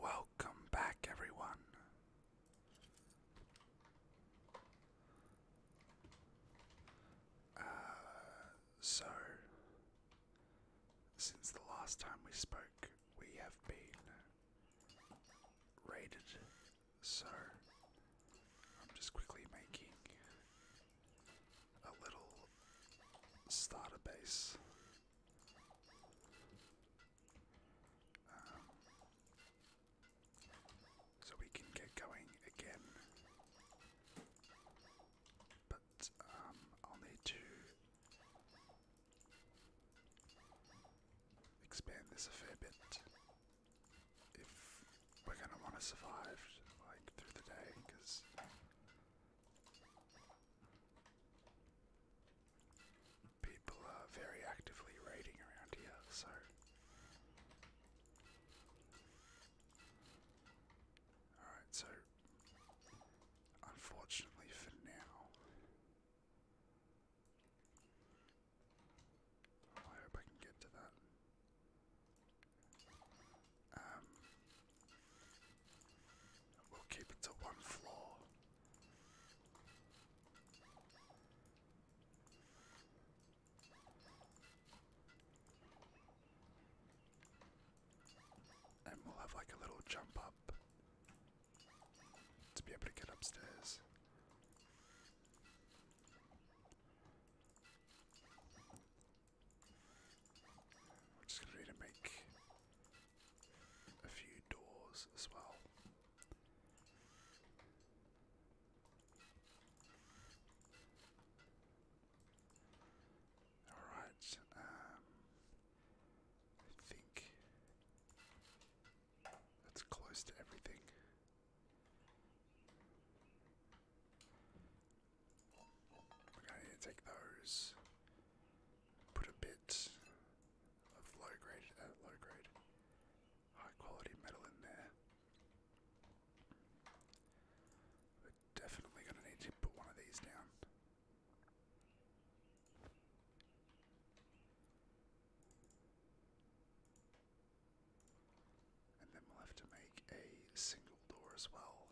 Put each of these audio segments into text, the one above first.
Welcome back, everyone. Uh, so, since the last time we spoke, we have been raided. So, I'm just quickly making a little starter base. Um, so we can get going again. But um, I'll need to expand this a fair bit if we're gonna want to survive like through the day, because people are very actively raiding around here, so. Alright, so unfortunately for now, I hope I can get to that. Um, we'll keep it to one floor. And we'll have like a little jump up to be able to get upstairs just need to make a few doors as well. Alright, um, I think that's close to everything. We're going to take those, put a bit of low grade, uh, low grade, high quality metal in there. We're definitely going to need to put one of these down. And then we'll have to make a single door as well.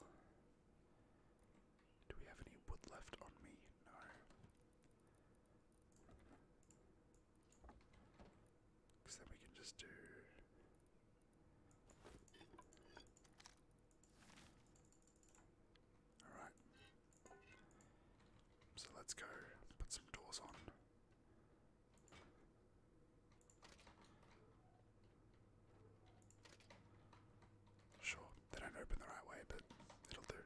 Do we have any wood left on me? No. Because then we can just do. Alright. So let's go put some doors on. Sure, they don't open the right way, but it'll do.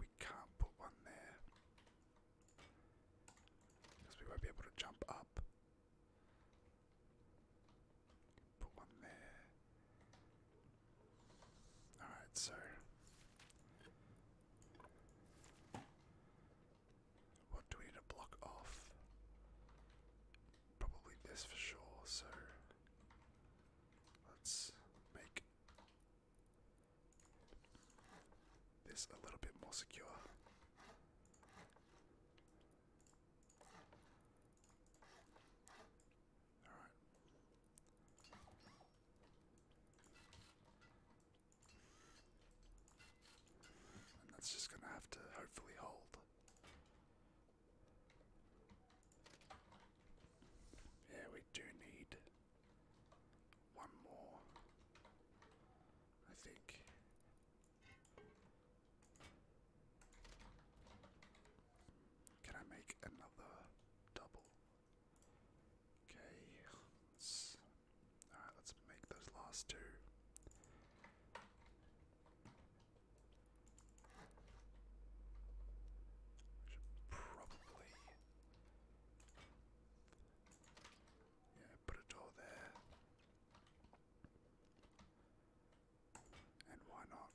We can't put one there. Because we won't be able to jump up. Put one there. Alright, so. What do we need to block off? Probably this for sure, so let's make this a little bit more secure. Alright. And that's just going to have to hopefully hold. Yeah, we do need one more, I think. Can I make another double? Okay, all right, let's make those last two. I should probably, yeah, put a door there. And why not?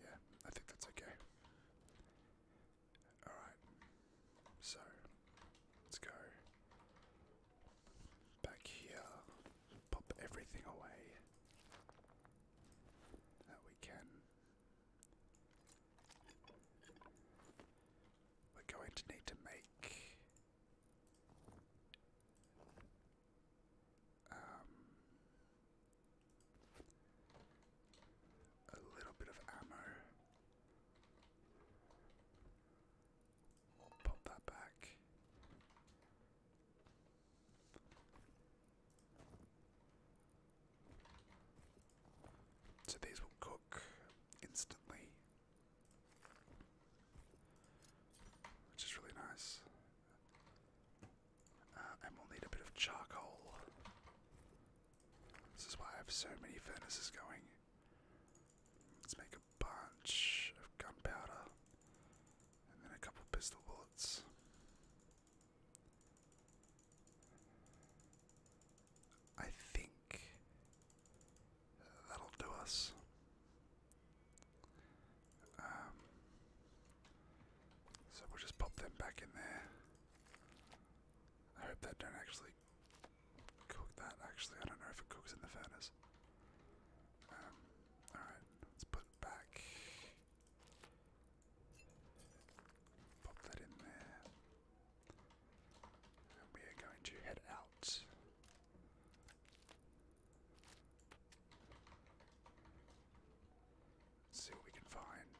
Yeah, I think that's okay. Alright, so let's go back here, pop everything away that we can. We're going to need to make um, a little bit of ammo. pop that back. So these will cook instantly, which is really nice. Uh, and we'll need a bit of charcoal. This is why I have so many furnaces going. Let's make a bunch of gunpowder and then a couple pistol bullets. I think that'll do us. Um, so we'll just pop them back in there. I hope that don't actually cook that. Actually, I don't know if it cooks in the furnace. Um, alright, let's put it back. Pop that in there. And we are going to head out see what we can find.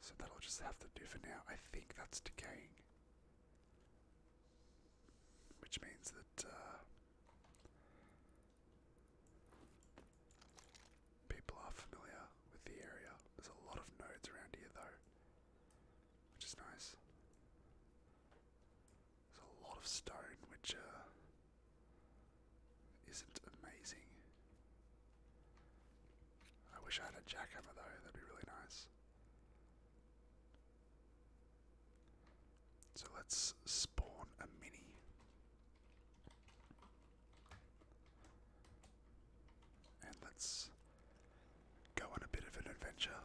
So that'll just have to do for now. I think that's decaying. Which means that uh, people are familiar with the area. There's a lot of nodes around here, though, which is nice. There's a lot of stone, which uh, isn't amazing. I wish I had a jackhammer though, that'd be really nice. So let's spawn a mini. And let's go on a bit of an adventure.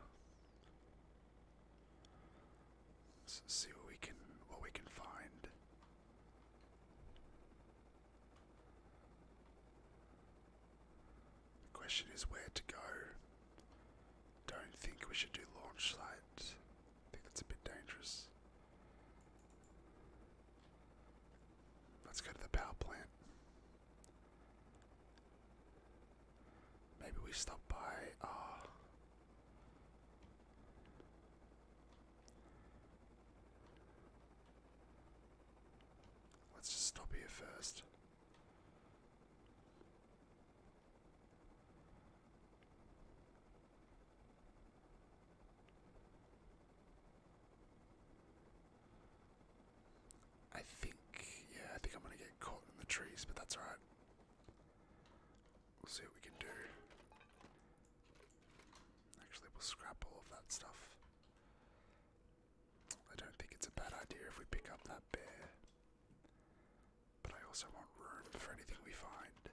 Let's see what we can what we can find. The question is where to go. Don't think we should do launch site. think that's a bit dangerous. Let's go to the power plant. Maybe we stop by, uh, Let's just stop here first. I think, yeah, I think I'm going to get caught in the trees, but that's alright. We'll see what we can do. Actually, we'll scrap all of that stuff. I don't think it's a bad idea if we pick up that bear. But I also want room for anything we find.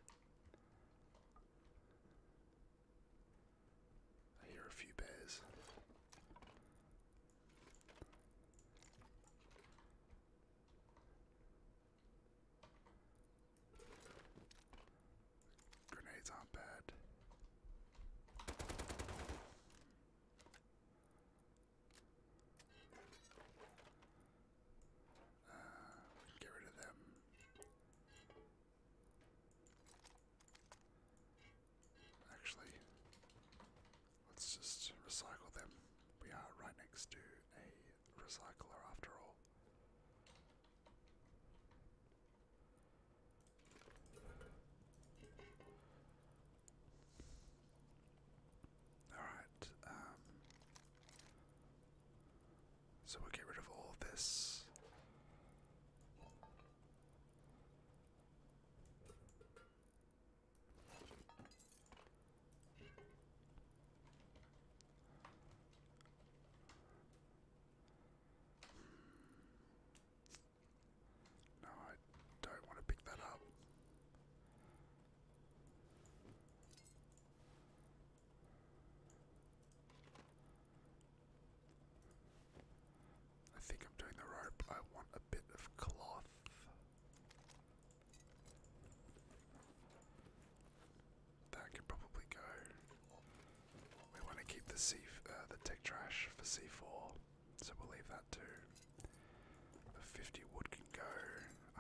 I hear a few bears. Grenades aren't bad. Uh, we can get rid of them. Actually, let's just recycle them. We are right next to a recycler after all. Alright, um, so we get rid of all this. No, I don't want to pick that up. I think I'm doing the rope. I want a bit of cloth. That can probably go. We want to keep the C uh, the tech trash for C4, so we'll leave that too. The 50 wood can go.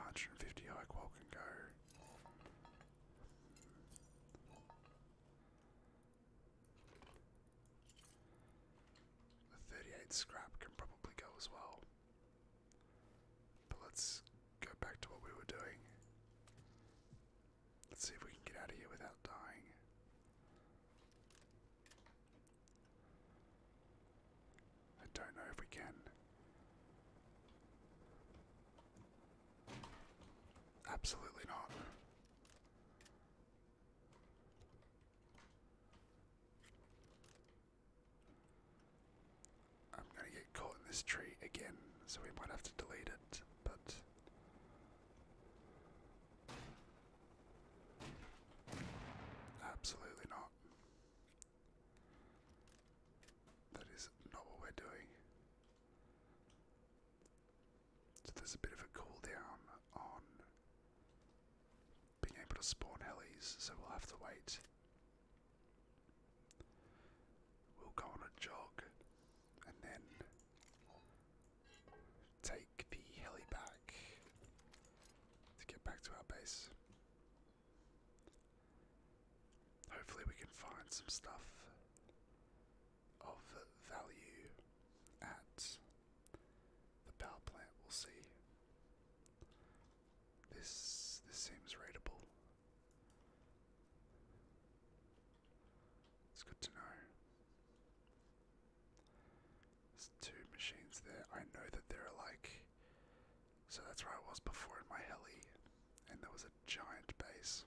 150 high qual can go. The 38 scrap can probably go as well. But let's go back to what we were doing. Let's see if we can get out of here without dying. I don't know if we can. Absolutely not. I'm gonna get caught in this tree again, so we might have to delete it, but. Absolutely not. That is not what we're doing. So there's a bit of a cooldown on being able to spawn helis, so we'll have to wait. We'll go on a jog and then take the heli back to get back to our base. Hopefully, we can find some stuff of value at the power plant, we'll see. This this seems readable. It's good to know. There's two machines there. I know that there are like so that's where I was before in my heli, and there was a giant base.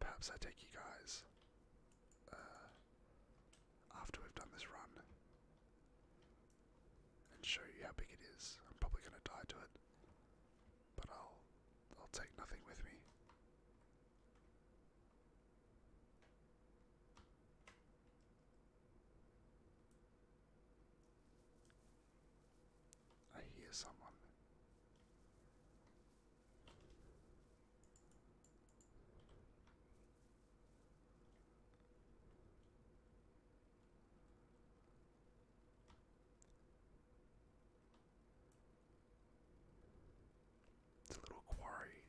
Perhaps I take you guys. Uh, after we've done this run and show you how big it is. I'm probably going to die to it, but I'll I'll take nothing with me. I hear someone. It's a little quarry.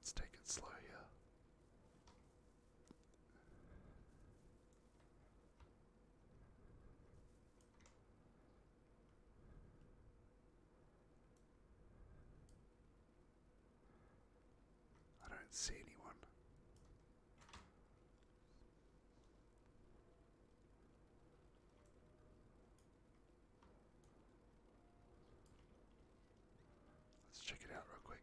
Let's take it slow yeah. I don't see anyone. Let's check it out real quick.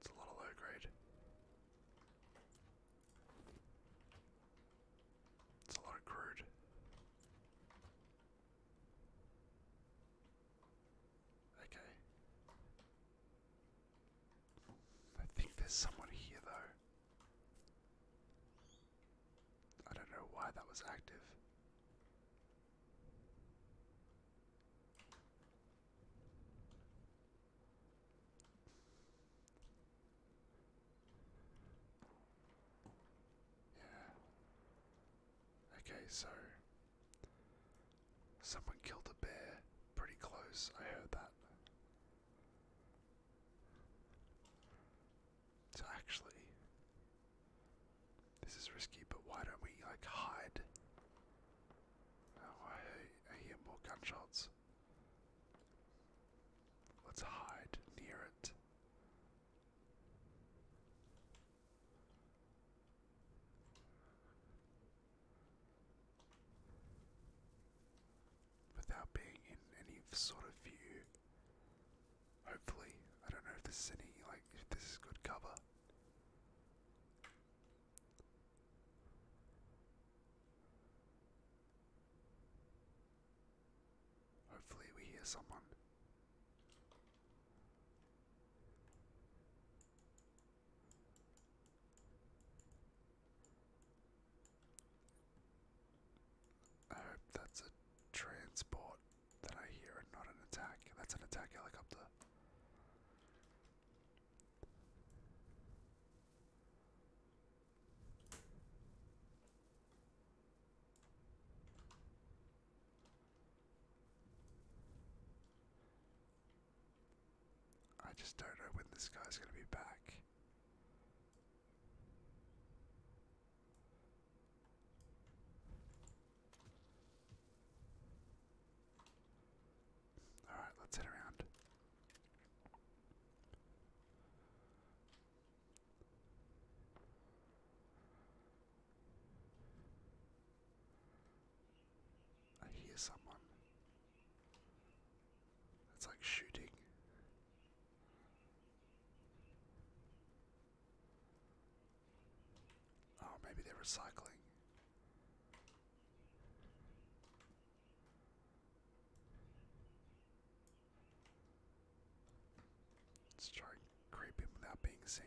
It's a lot of low grade. It's a lot of crude. Okay. I think there's someone here though. I don't know why that was active. Yeah. Okay, so someone killed a bear pretty close. I heard that. So actually, this is risky, but why don't we like hide? Oh, I hear, more gunshots. Let's hide near it without being in any sort of view. Hopefully, I don't know if this any like if this is good cover. Hopefully, we hear someone. I hope that's a transport that I hear and not an attack. That's an attack helicopter. I just don't know when this guy's going to be back. All right, let's head around. I hear someone. It's like shooting. Oh, maybe they're recycling. Let's try and without being seen.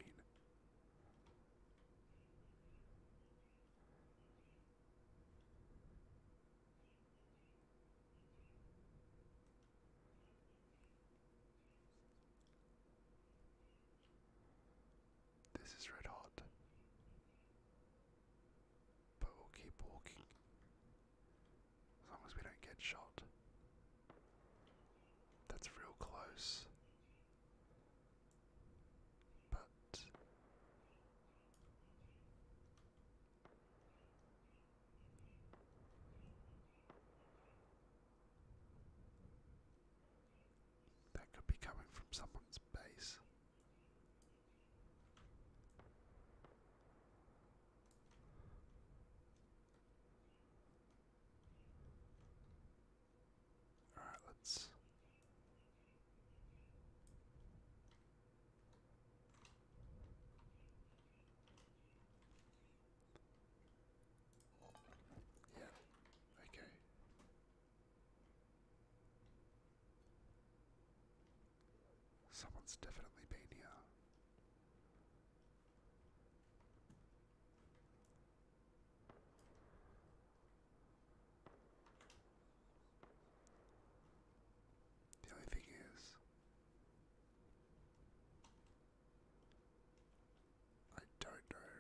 This is red hot, but we'll keep walking as long as we don't get shot. That's real close, but that could be coming from someone's base. All right, let's yeah, okay. Someone's definitely been here. The only thing is, I don't know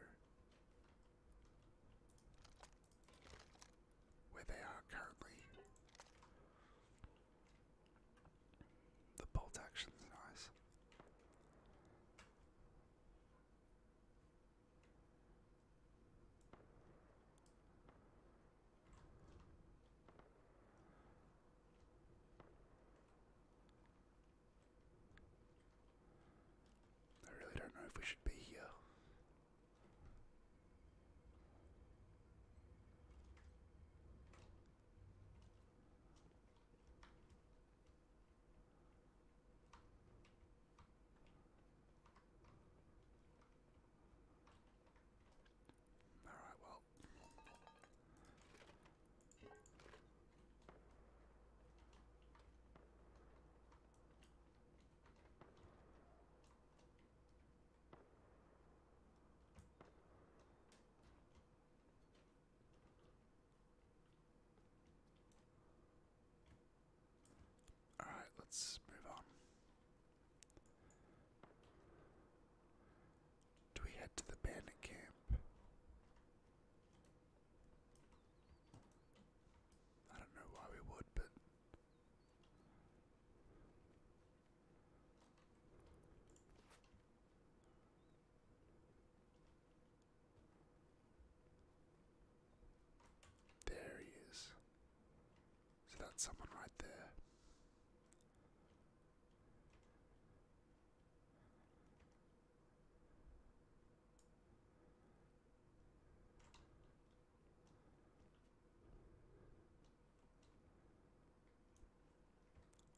where they are currently. The bolt action's nice. I really don't know if we should be here. Alright, well. All right, let's move on. Do we head to the bandit camp? I don't know why we would, but. There he is. So that's someone right there.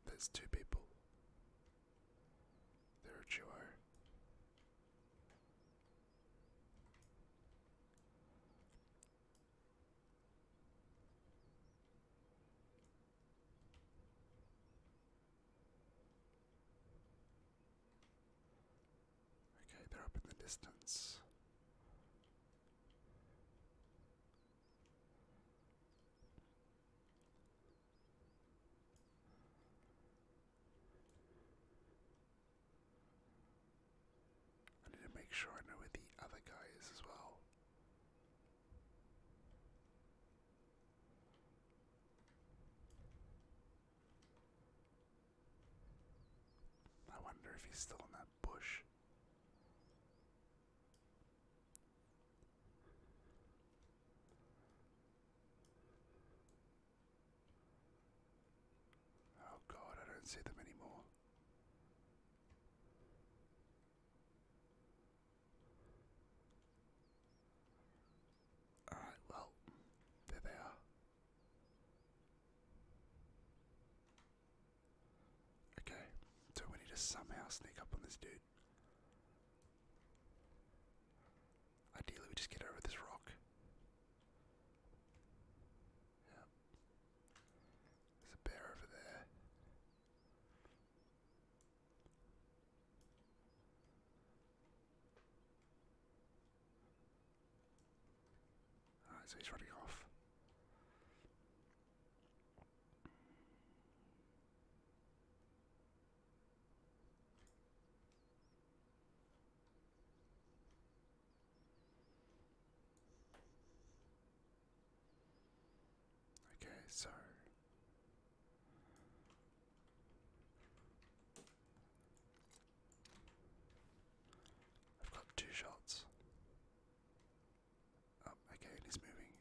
There's two people. They're a duo. Okay, they're up in the distance. I need to make sure I know where the other guy is as well. I wonder if he's still in that bush. Oh god, I don't see them anymore. Alright, well, there they are. Okay, so we need to somehow sneak up on this dude. Ideally, we just get over this rock. There's a bear over there. Alright, so he's running off. Okay, so I've got two shots. Oh, okay, and moving.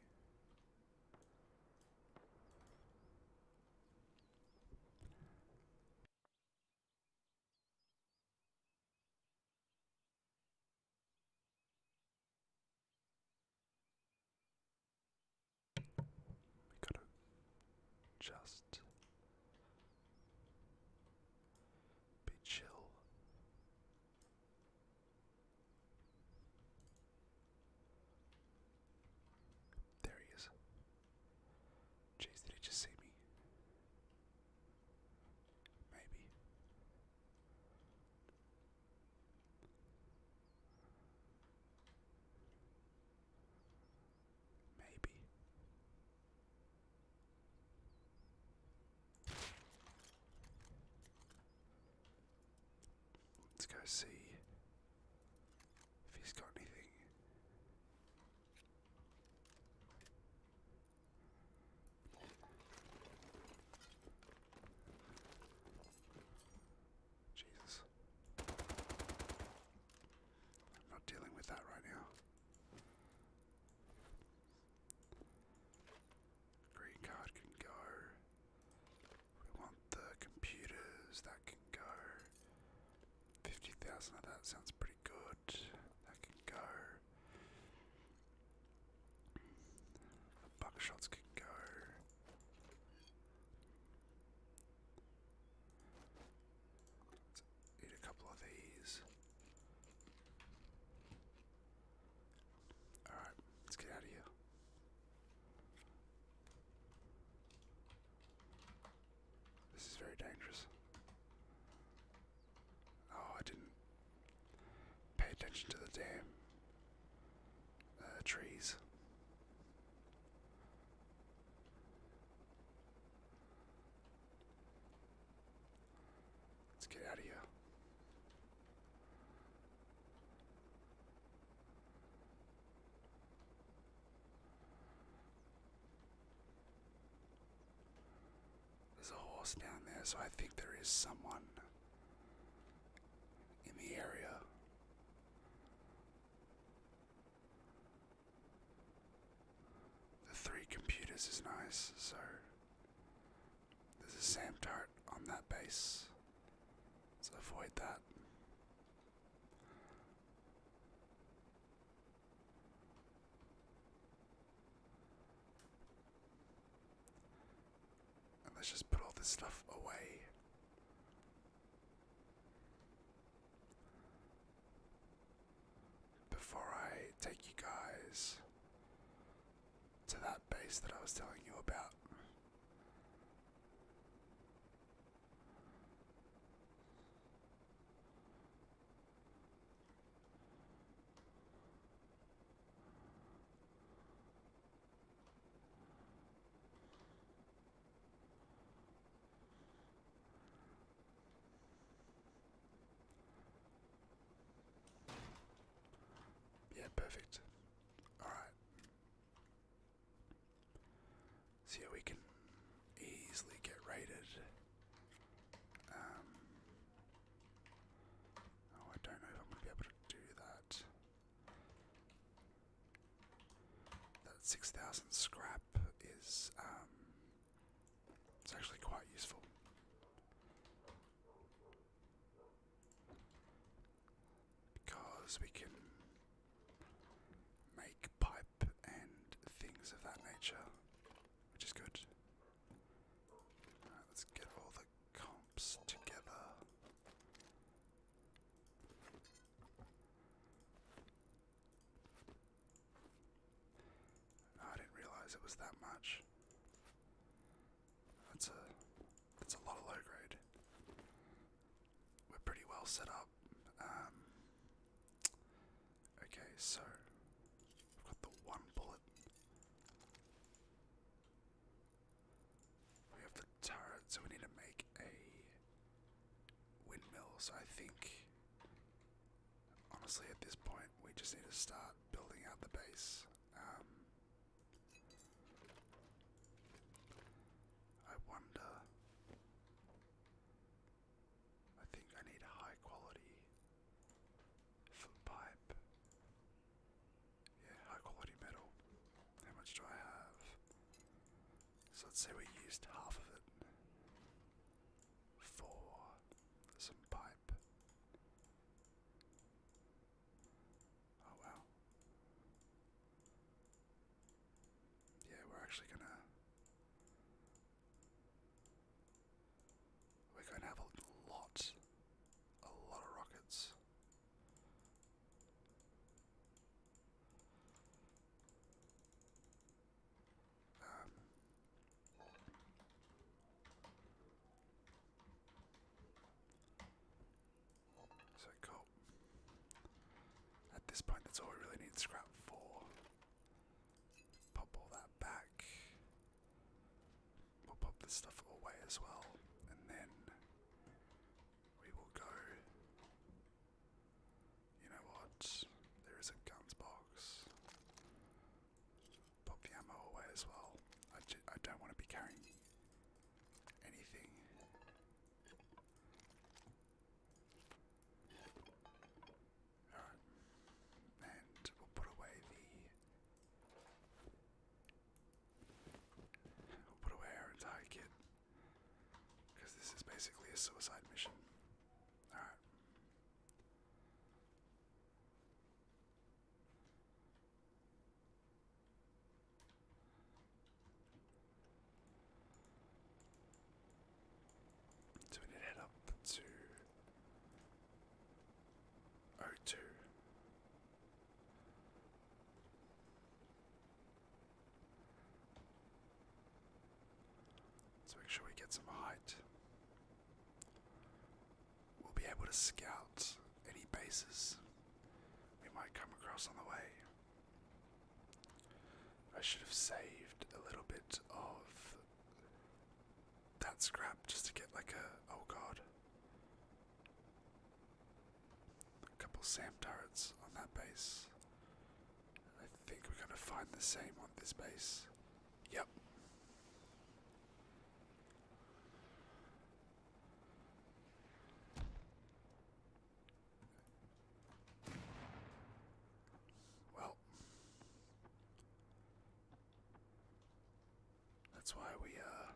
We gotta just be chill. There he is. Jeez, did he just see me? Maybe. Maybe. Let's go see if he's got anything. Jesus. I'm not dealing with that right now. Green card can go. We want the computers, that can go. 50,000 of that sounds pretty good. That can go. buckshots can go. Let's eat a couple of these. Alright, let's get out of here. This is very dangerous. Oh, I didn't pay attention to the damn uh, trees. Let's get out of here. There's a horse down there, so I think there is someone in the area. The three computers is nice, so there's a SAM turret on that base, so avoid that let's just put all this stuff away. Before I take you guys to that base that I was telling you about. Yeah, perfect. All right. See, yeah, we can easily get raided. Um, oh, I don't know if I'm going to be able to do that. That 6,000 scrap is, um, it's actually quite useful. Because we can pipe and things of that nature, which is good. let's get all the comps together. I didn't realize it was that much. That's a that's a lot of low grade. We're pretty well set up. Um, Okay, so I've got the one bullet. We have the turret, so we need to make a windmill. So I think, honestly, at this point, we just need to start building out the base. Um, I wonder I think I need high quality pipe. Yeah, high quality metal. How much do I have? So let's say we used half of it for some pipe. Oh wow. Yeah, we're actually gonna we're going to have a lot, a lot of rockets. Um, so cool. At this point, that's all we really need scrap for. Pop all that back. We'll pop this stuff away as well, and then we will go. You know what? There is a guns box. Pop the ammo away as well. I, I don't want to be carrying anything. Alright. And we'll put away the. We'll put away our entire kit. Because this is basically a suicide mission. Alright. So we need to head up to O2. So make sure we get some height. We'll be able to scout any bases we might come across on the way. I should have saved a little bit of that scrap just to get like a oh god. A couple SAM turrets on that base. I think we're gonna find the same on this base. Yep. Well, that's why we, uh,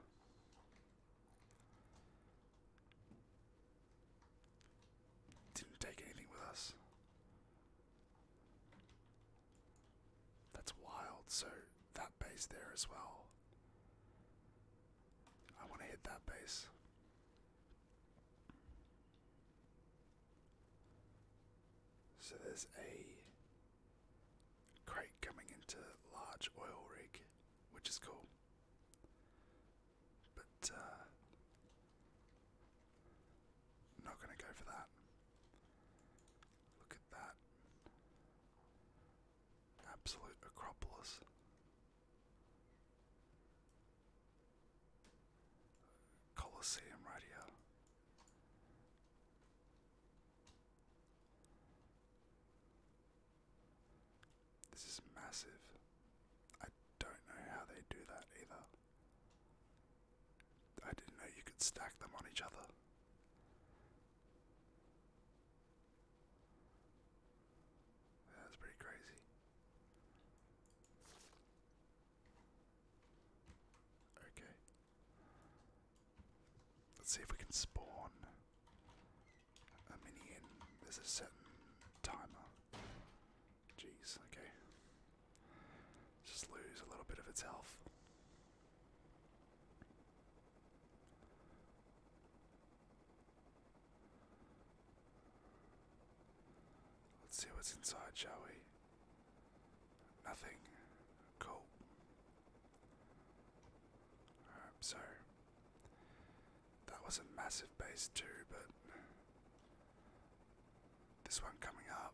didn't take anything with us. That's wild. So, that base there as well. I want to hit that base. So there's a crate coming into large oil rig, which is cool. But uh, not gonna go for that. Look at that. Absolute Acropolis. Colosseum right here. This is massive. I don't know how they do that either. I didn't know you could stack them on each other. That's pretty crazy. Okay. Let's see if we can spawn a minion. There's a certain timer. Jeez, okay. Just lose a little bit of its health. Let's see what's inside, shall we? Nothing. Cool. so that was a massive base too, but this one coming up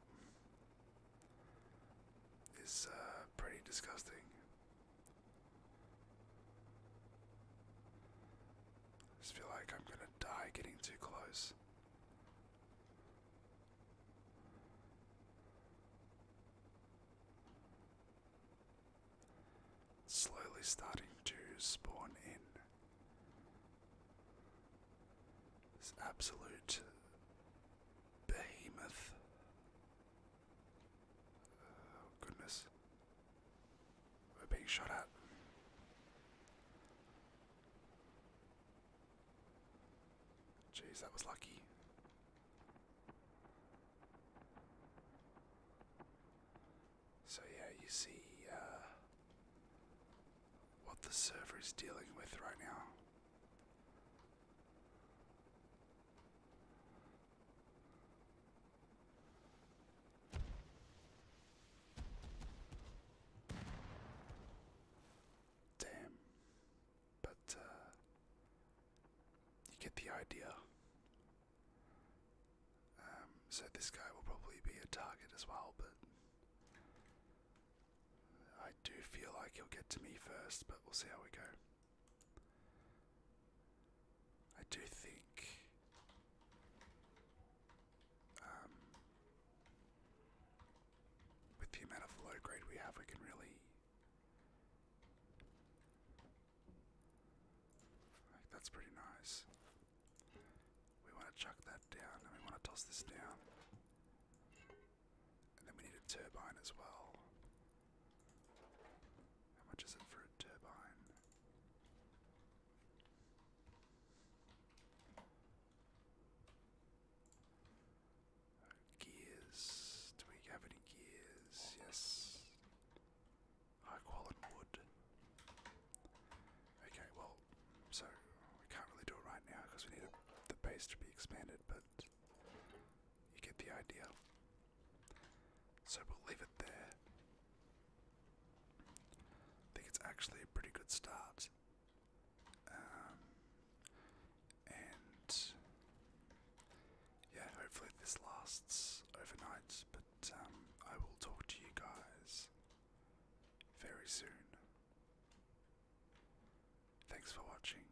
is uh, pretty disgusting. I just feel like I'm gonna die getting too close. slowly starting to spawn in. This absolute behemoth. Oh, goodness being shot at. Jeez, that was lucky. So, yeah, you see uh, what the server is dealing with right now. Damn. But, uh, you get the idea. Um, so this guy will probably be a target as well, but I do feel like he'll get to me first, but we'll see how we go. I do think um, with the amount of low grade we have, we can really. that's pretty nice. We want to chuck that down and we want to toss this down. And then we need a turbine as well. How much is it for a turbine? Gears. Do we have any gears? Yes. High quality wood. Okay, well, so we can't really do it right now because we need the base to be expanded, but you get the idea. So we'll leave it there. I think it's actually a pretty good start. Um, and yeah, hopefully this lasts overnight, but um, I will talk to you guys very soon. Thanks for watching.